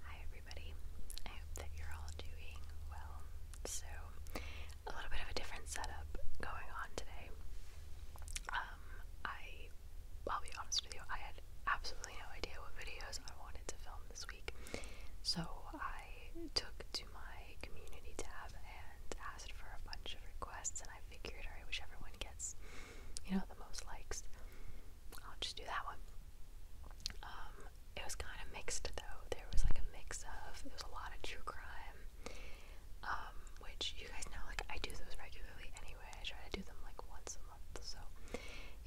Hi, everybody. I hope that you're all doing well. So, a little bit of a different setup going on today. Um, I, I'll be honest with you, I had absolutely no idea what videos I wanted to film this week. So I took to my community tab and asked for a bunch of requests, and I figured, alright, which everyone gets, you know, the most likes, I'll just do that one. Um, it was kind of mixed though. There was like a mix of there was a lot of true crime, um, which you guys know, like I do those regularly anyway. I try to do them like once a month, so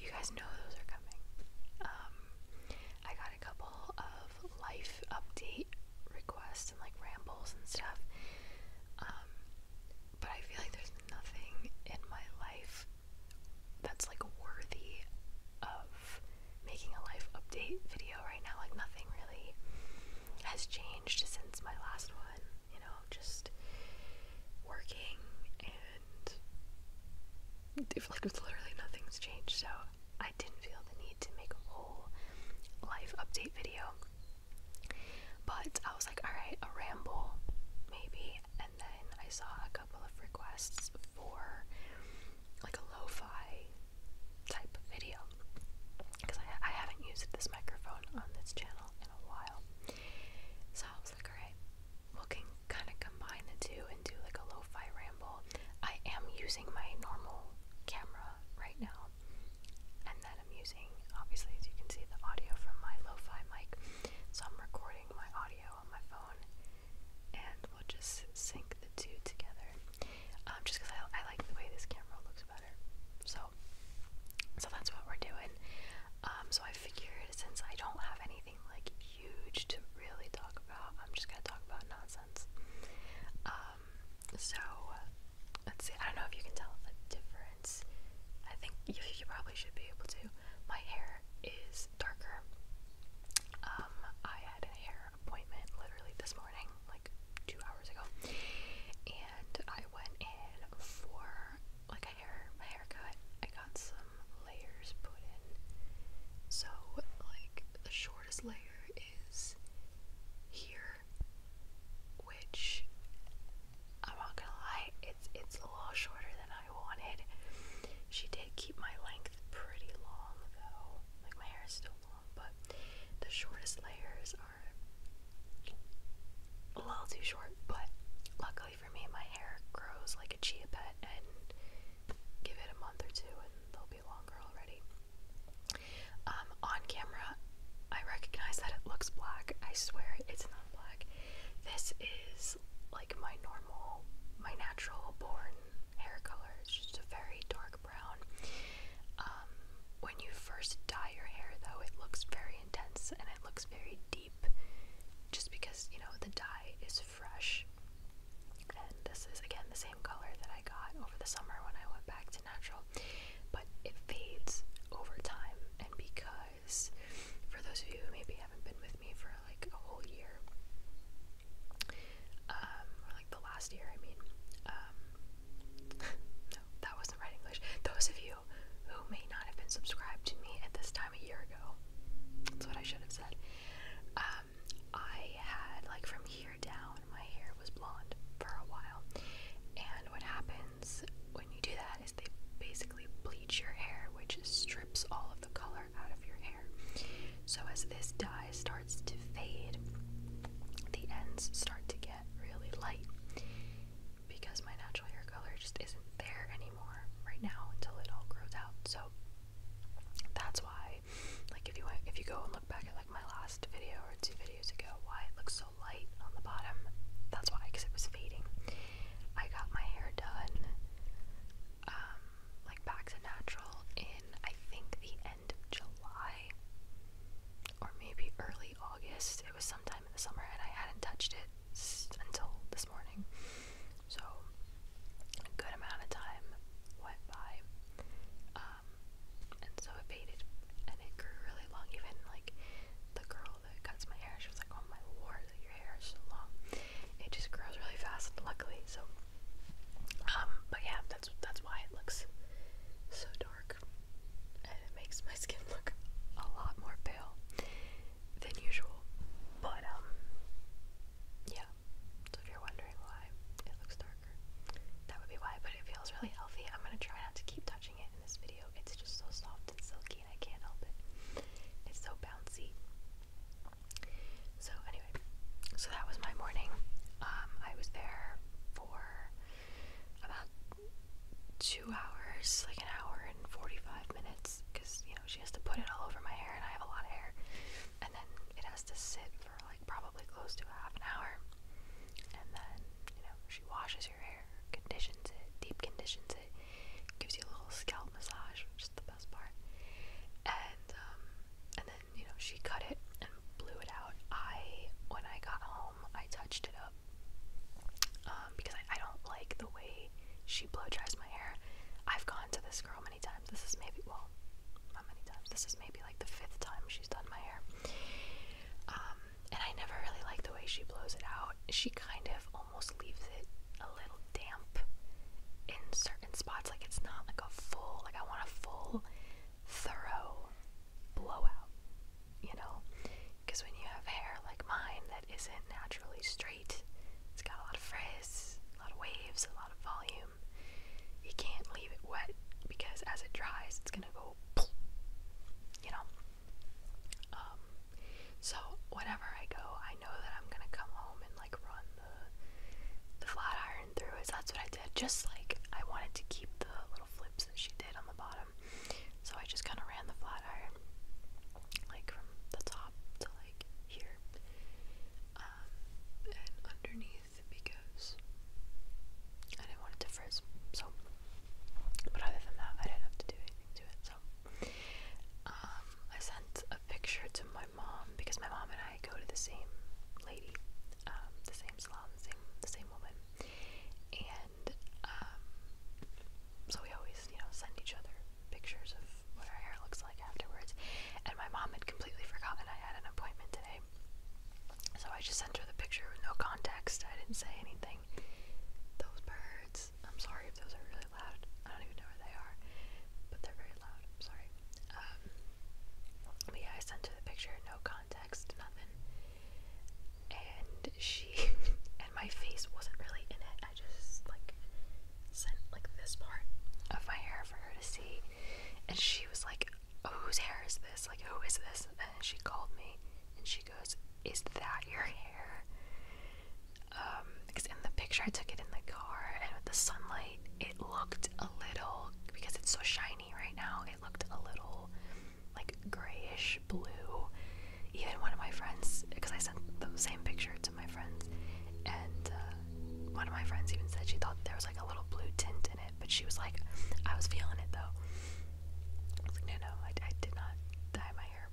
you guys know those are coming. Um, I got a couple of life update requests and like rambles and stuff. Um, but I feel like there's nothing in my life that's like worthy of making a life update video right now. Like nothing really has changed since my last one. You know, just working and like literally nothing's changed, so I didn't feel the need to make a whole life update video. But I was like, alright, a ramble, maybe. And then I saw a couple of requests for like a lo fi type video. Because I, I haven't used this microphone on this channel in a while. So I was like, alright, we can kind of combine the two and do like a lo ramble. I am using my normal camera right now, and then I'm using, obviously, as you can see, the audio from my lo-fi mic. So I'm recording my audio on my phone, and we'll just sync the two together. Um, just because I, like the way this camera looks better, so so that's what we're doing. Um, so I figured since I don't have anything like huge to really talk about. I'm just gonna talk about nonsense. Um, so let's see. I don't know if you can tell the difference. I think you, you probably should be able to. My hair is darker. Um, I had a hair appointment literally this morning, like two hours ago, and I went in for like a hair a haircut. I got some layers put in. So, like, the shortest layer is here, which I'm not gonna lie, it's it's a little shorter than I wanted. She did keep my length pretty long though. Like my hair is still long, but the shortest layers are a little too short, but luckily for me my hair grows like a chia pet and give it a month or two and they'll be longer already. Um, on camera, I recognize that it looks black. I swear it's not black. This is like my normal, my natural born hair color. It's just a very dark brown. Um, when you first dye your hair, though, it looks very intense and it looks very deep just because, you know, the dye is fresh and this is again the same color that I got over the summer when I went back to natural, but it fades over time. And because, for those of you who maybe haven't been with me for like a whole year, um, or like the last year, I mean, um, no, that wasn't right English. Those of you who may not have been subscribed to me at this time a year ago, that's what I should have said. I had like from here down, my hair was blonde for a while. And what happens when you do that is they basically bleach your hair, which strips all of the color out of your hair. So as this dye starts to fade, the ends start to get really light because my natural hair color just isn't there anymore right now until it all grows out. So that's why, like, if you if you go and look back at like my last video or two videos ago, why it looks so light on the bottom. That's why, because it was fading. I got my hair done, um, like back to natural in I think the end of July or maybe early August. It was sometime in the summer, and I hadn't touched it until this morning. So a good amount of time went by, um, and so it faded, and it grew really long. Even like the girl that cuts my hair, she was like, "Oh my lord, your hair is so long." It just grows really fast, luckily. So, um, but yeah, that's that's why it looks so dark, and it makes my skin look a lot more pale than usual. But um, yeah, so if you're wondering why it looks darker, that would be why, but it feels really healthy. I'm going to try not to keep touching it in this video. It's just so soft and silky and I can't help it. It's so bouncy. So anyway, so that was my morning. Um, I was there for about two hours, like an hour and 45 minutes, because you she has to put it all over my hair, and I have a lot of hair. And then it has to sit for like probably close to a half an hour. And then, you know, she washes your hair, conditions it, deep conditions it, gives you a little scalp massage, which is the best part. And um, and then, you know, she cut it and blew it out. I, when I got home, I touched it up um, because I, I don't like the way she blow dries my hair. I've gone to this girl times. This is maybe, well, not many times. This is maybe like the fifth time she's done my hair. Um, and I never really like the way she blows it out. She kind of almost leaves it a little damp in certain spots. Like it's not like a full, like I want a full, thorough blowout, you know? Because when you have hair like mine that isn't naturally straight, it's got a lot of frizz, a lot of waves, a lot of volume. You can't leave it wet because as it dries, it's gonna go, you know. Um, so whenever I go, I know that I'm gonna come home and like run the flat iron through Is that's what I did. Just like I wanted to keep the little flips that she did on the bottom, so I just kind of ran the flat iron like from the top to like here um, and underneath because I didn't want it to frizz. So, but other than that, I didn't have to do anything to it. So, um, I sent a picture to my mom because my mom and I go to the same lady, um, the same salon, the same the same woman, and so we always you know send each other pictures of what our hair looks like afterwards. And my mom had completely forgotten I had an appointment today. So I just sent her the picture with no context. I didn't say anything. Those birds. I'm sorry if those are really loud. I don't even know where they are. But they're very loud. I'm sorry. Um, but yeah, I sent her the picture, no context, nothing. And she. and my face wasn't really in it. I just, like, sent like this part of my hair for her to see, and she was like, "Whose hair is this? Like, who is this?" And she called me, and she goes, "Is that your hair?" Um, because in the picture I took it in the car, and with the sunlight, it looked a little because it's so shiny right now. It looked a little like grayish blue. Even one of my friends, because I sent the same picture shirt to my friends, and uh, one of my friends even said she thought there was like a little blue tint in it, but she was like, I was feeling it though. I was like, no, no, I, I did not dye my hair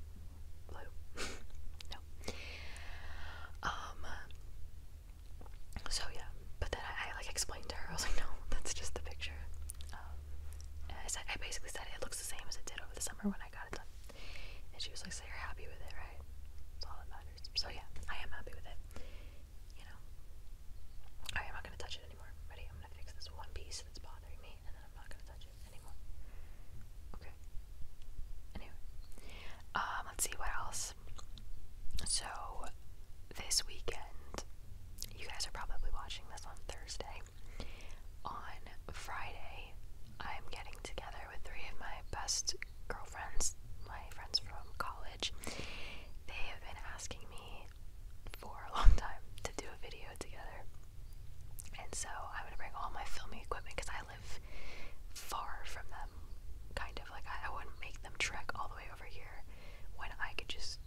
blue. no. Um. So yeah, but then I, I like explained to her. I was like, no, that's just the picture. Um, and I said, I basically said it looks the same as it did over the summer when I got it done. And she was like, So you're happy with it, right? That's all that matters. So yeah, I am happy with it. You know. I'm not gonna touch it anymore. Ready? I'm gonna fix this one piece that's bothering me and then I'm not gonna touch it anymore. Okay. Anyway. Um, let's see what else. So this weekend you guys are probably watching this on Thursday. On Friday, I'm getting together with three of my best girlfriends, my friends from college. They have been asking me for a long time to do a video together. And so I'm gonna bring all my filming equipment because I live far from them, kind of. Like, I, wouldn't make them trek all the way over here when I could just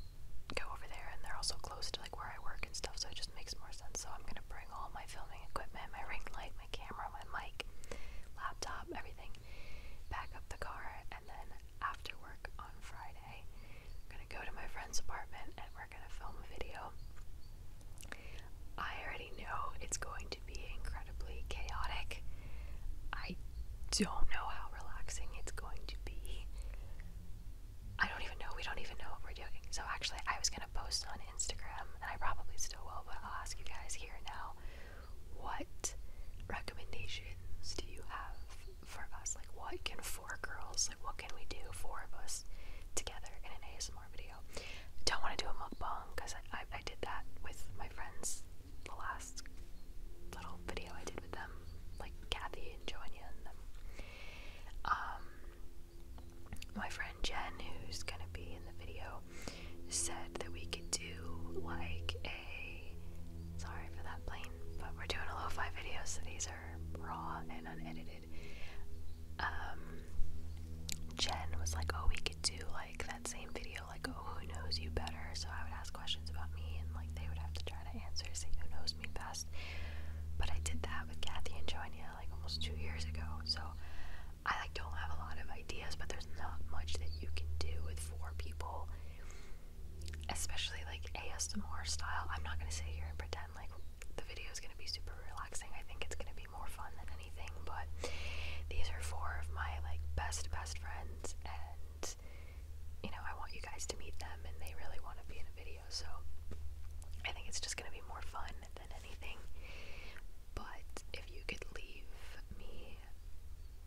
go over there and they're also close to like where I work and stuff so it just makes more sense so I'm gonna bring all my filming equipment my ring light camera, my mic, laptop, everything back up the car, and then after work on Friday, I'm gonna go to my friend's apartment and we're gonna film a video. I already know it's going to be incredibly chaotic. I don't know how relaxing it's going to be. I don't even know, we don't even know what we're doing. So, actually, I was gonna post on it. Instagram, and I probably still will, but I'll ask you guys here now what recommendations do you have for us? Like, what can four girls, like, what can we do, four of us, together in an ASMR video? Don't want to do a mukbang because I, I, I did that with my friends the last little video I did with them, like Kathy and Joanna and them. Um, my friend Jen, who's going to be in the video, said that we could do like a. Sorry for that plane, but we're doing a lo fi video, so these are raw and unedited. Um, Jen was like, oh, we could do like that same video, like, oh, who knows you better? So I would ask questions about me, and like they would have to try to answer, say who knows me best. But I did that with Kathy and Joanna like almost two years ago, so I like don't have a lot of ideas, but there's not much that you can do with four people, especially like ASMR style. I'm not gonna sit here and pretend like the video is gonna be super relaxing. I think it's gonna be more fun than anything. But these are four of my like best best friends, and you know I want you guys to meet them, and they really want to be in a video. So I think it's just gonna be more fun than anything. But if you could leave me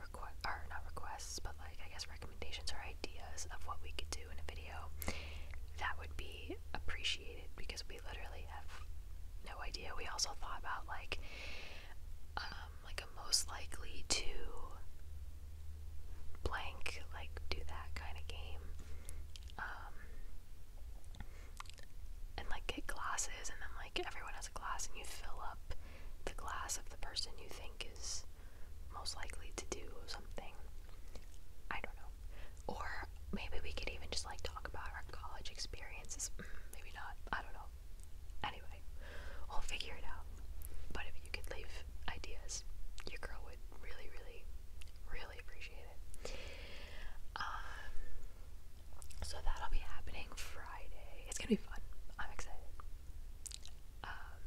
request or not requests, but like I guess recommendations or ideas of what we could do in a video, that would be appreciated because we literally have no idea. We also thought about like um, like most likely to blank like do that kind of game. Um, and like get glasses, and then like everyone has a glass, and you fill up the glass of the person you think is most likely to do something. I don't know. Or maybe we could even just like talk about our college experiences. Mm, maybe not. I don't know. Anyway, we'll figure it out. But if you could leave ideas, your girl would really, really, really appreciate um, so that'll be happening Friday. It's gonna be fun. I'm excited. Um,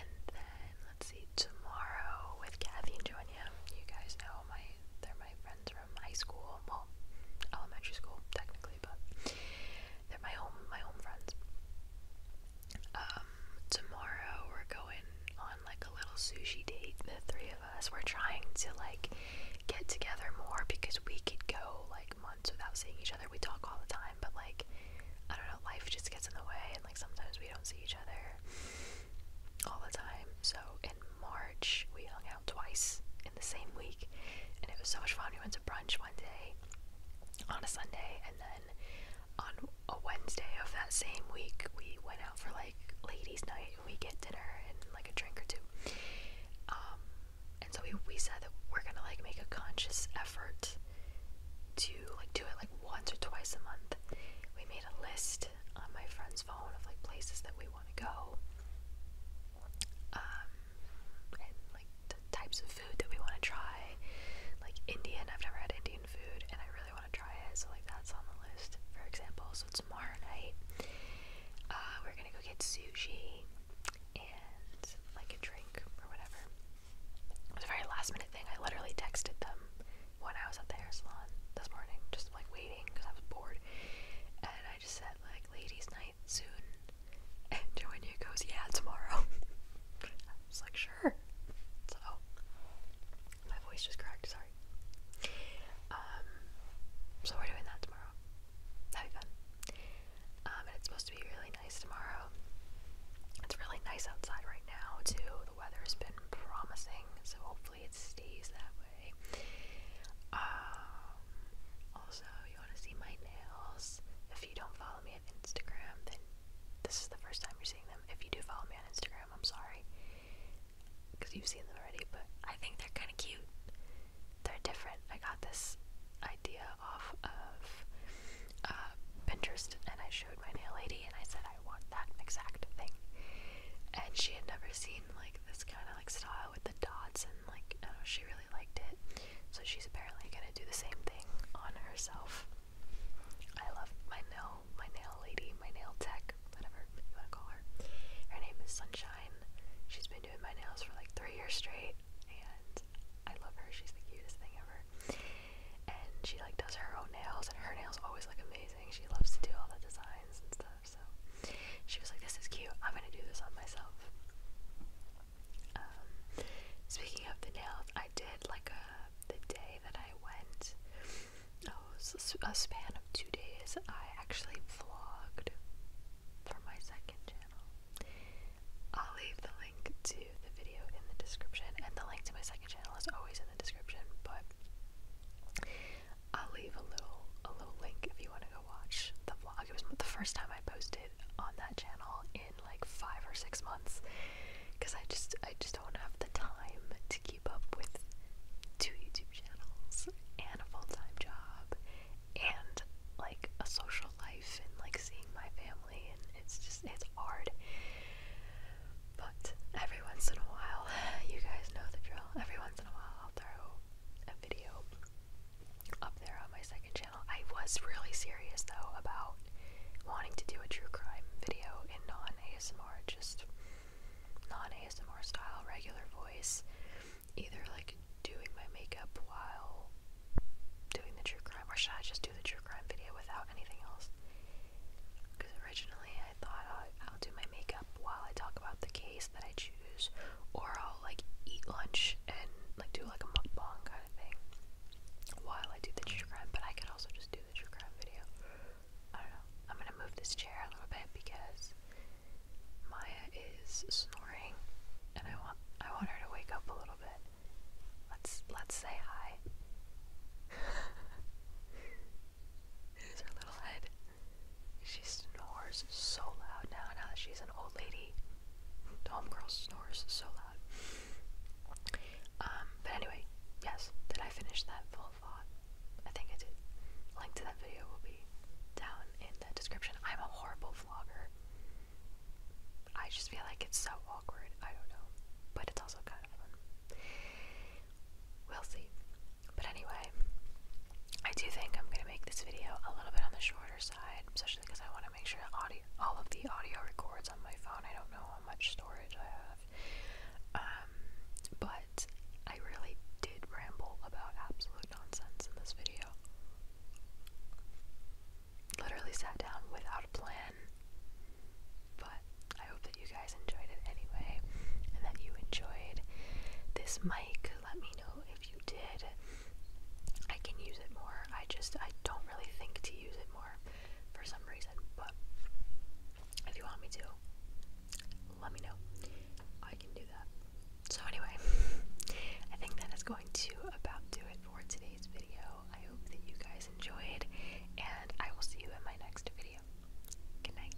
and then let's see tomorrow with Kathy and Joanna. You guys know my they're my friends from high school. elementary school technically, but they're my home my home friends. Um, tomorrow we're going on like a little sushi date, the three of us. We're trying to like get together more because we could go like months without seeing each other. We talk all the time, but like I don't know, life just gets in the way and like sometimes we don't see each other all the time. So in March we hung out twice in the same week and it was so much fun. We went to brunch one day on a Sunday and then on a Wednesday of that same week we went out for like ladies' night we get dinner and like a drink or two. Um, and so we, we said that we're gonna like make a conscious effort to like do it like once or twice a month. We made a list on my friend's phone of like places that we want to go, um, and like types of food that we want to try. Like Indian, I've never had Indian food, and I really want to try it. So like that's on the list, for example. So it's tomorrow night. Uh, we're gonna go get sushi and like a drink or whatever. It was a very last minute thing. I literally texted them when I was at the hair salon this morning, just like waiting because I was bored. And I just said, like, ladies' night soon. And Joanna goes, yeah, tomorrow. I was like, sure. So, my voice just cracked. Sorry. Um, so we're doing that tomorrow. That'd be fun. Um, and it's supposed to be really nice tomorrow. It's really nice outside right now too. The weather's been promising, so hopefully it stays that way. Um, also, you want to see my nails? If you don't follow me on Instagram, then this is the first time you're seeing them. If you do follow me on Instagram, I'm sorry because you've seen them already, but I think they're kind of cute. They're different. I got this idea off of uh, Pinterest, and I showed my nail lady, and I said I want that exact thing. And she had never seen like this kind of like style with the dots, and like she really liked it. So she's apparently gonna do the same thing on herself. I love my nail my nail lady, my nail tech, whatever you want to call her. Her name is Sunshine. She's been doing my nails for like three years straight, and I love her. She's the cutest thing ever. And she like does her own nails, and her nails always look amazing. She loves to do all the designs and stuff. So she was like, "This is cute. I'm gonna do this on myself." Um, speaking of the nails, I did like a uh, the day that I went oh, a span of two days. I actually vlogged for my second channel. I'll leave the link to the video in the description, and the link to my second channel is always in the description. But I'll leave a little a little link if you want to go watch the vlog. It was the first time I posted on that channel in like five or six months, because I just I just don't have the time to keep up with two YouTube channels and a full time job and like a social life and like seeing my family and it's just it's hard. But every once in a while, you guys know the drill. Every once in a while I'll throw a video up there on my second channel. I was really serious though about wanting to do a true crime video in non ASMR just non ASMR style, regular voice, either like doing my makeup while doing the true crime, or should I just do the true crime video without anything else? Because originally I thought uh, I'll, do my makeup while I talk about the case that I choose, or I'll like eat lunch and like do like a mukbang kind of thing while I do the true crime, but I could also just do the true crime video. I don't know. I'm gonna move this chair a little bit because Maya is snoring, and I want I want her to wake up a little bit. Let's let's say hi. There's her little head. She snores so loud now. Now that she's an old lady, the homegirl snores so loud. Um, but anyway, yes. Did I finish that full thought? I think I did. Link to that video will be down in the description. I'm a horrible vlogger. I just feel like it's so awkward. I don't know. But it's also kind of fun. We'll see. But anyway, I do think I'm going to make this video a little bit on the shorter side, especially because I want to make sure audio, all of the audio records on my phone. I don't know how much storage I have. Um, but I really did ramble about absolute nonsense in this video. Literally sat down without a plan. But I hope that you guys enjoyed it anyway and that you enjoyed this mic. Let me know if you did. I can use it more. I just I don't really think to use it more for some reason, but if you want me to, let me know. I can do that. So, anyway, I think that is going to about do it for today's video. I hope that you guys enjoyed, and I will see you in my next video. Good night.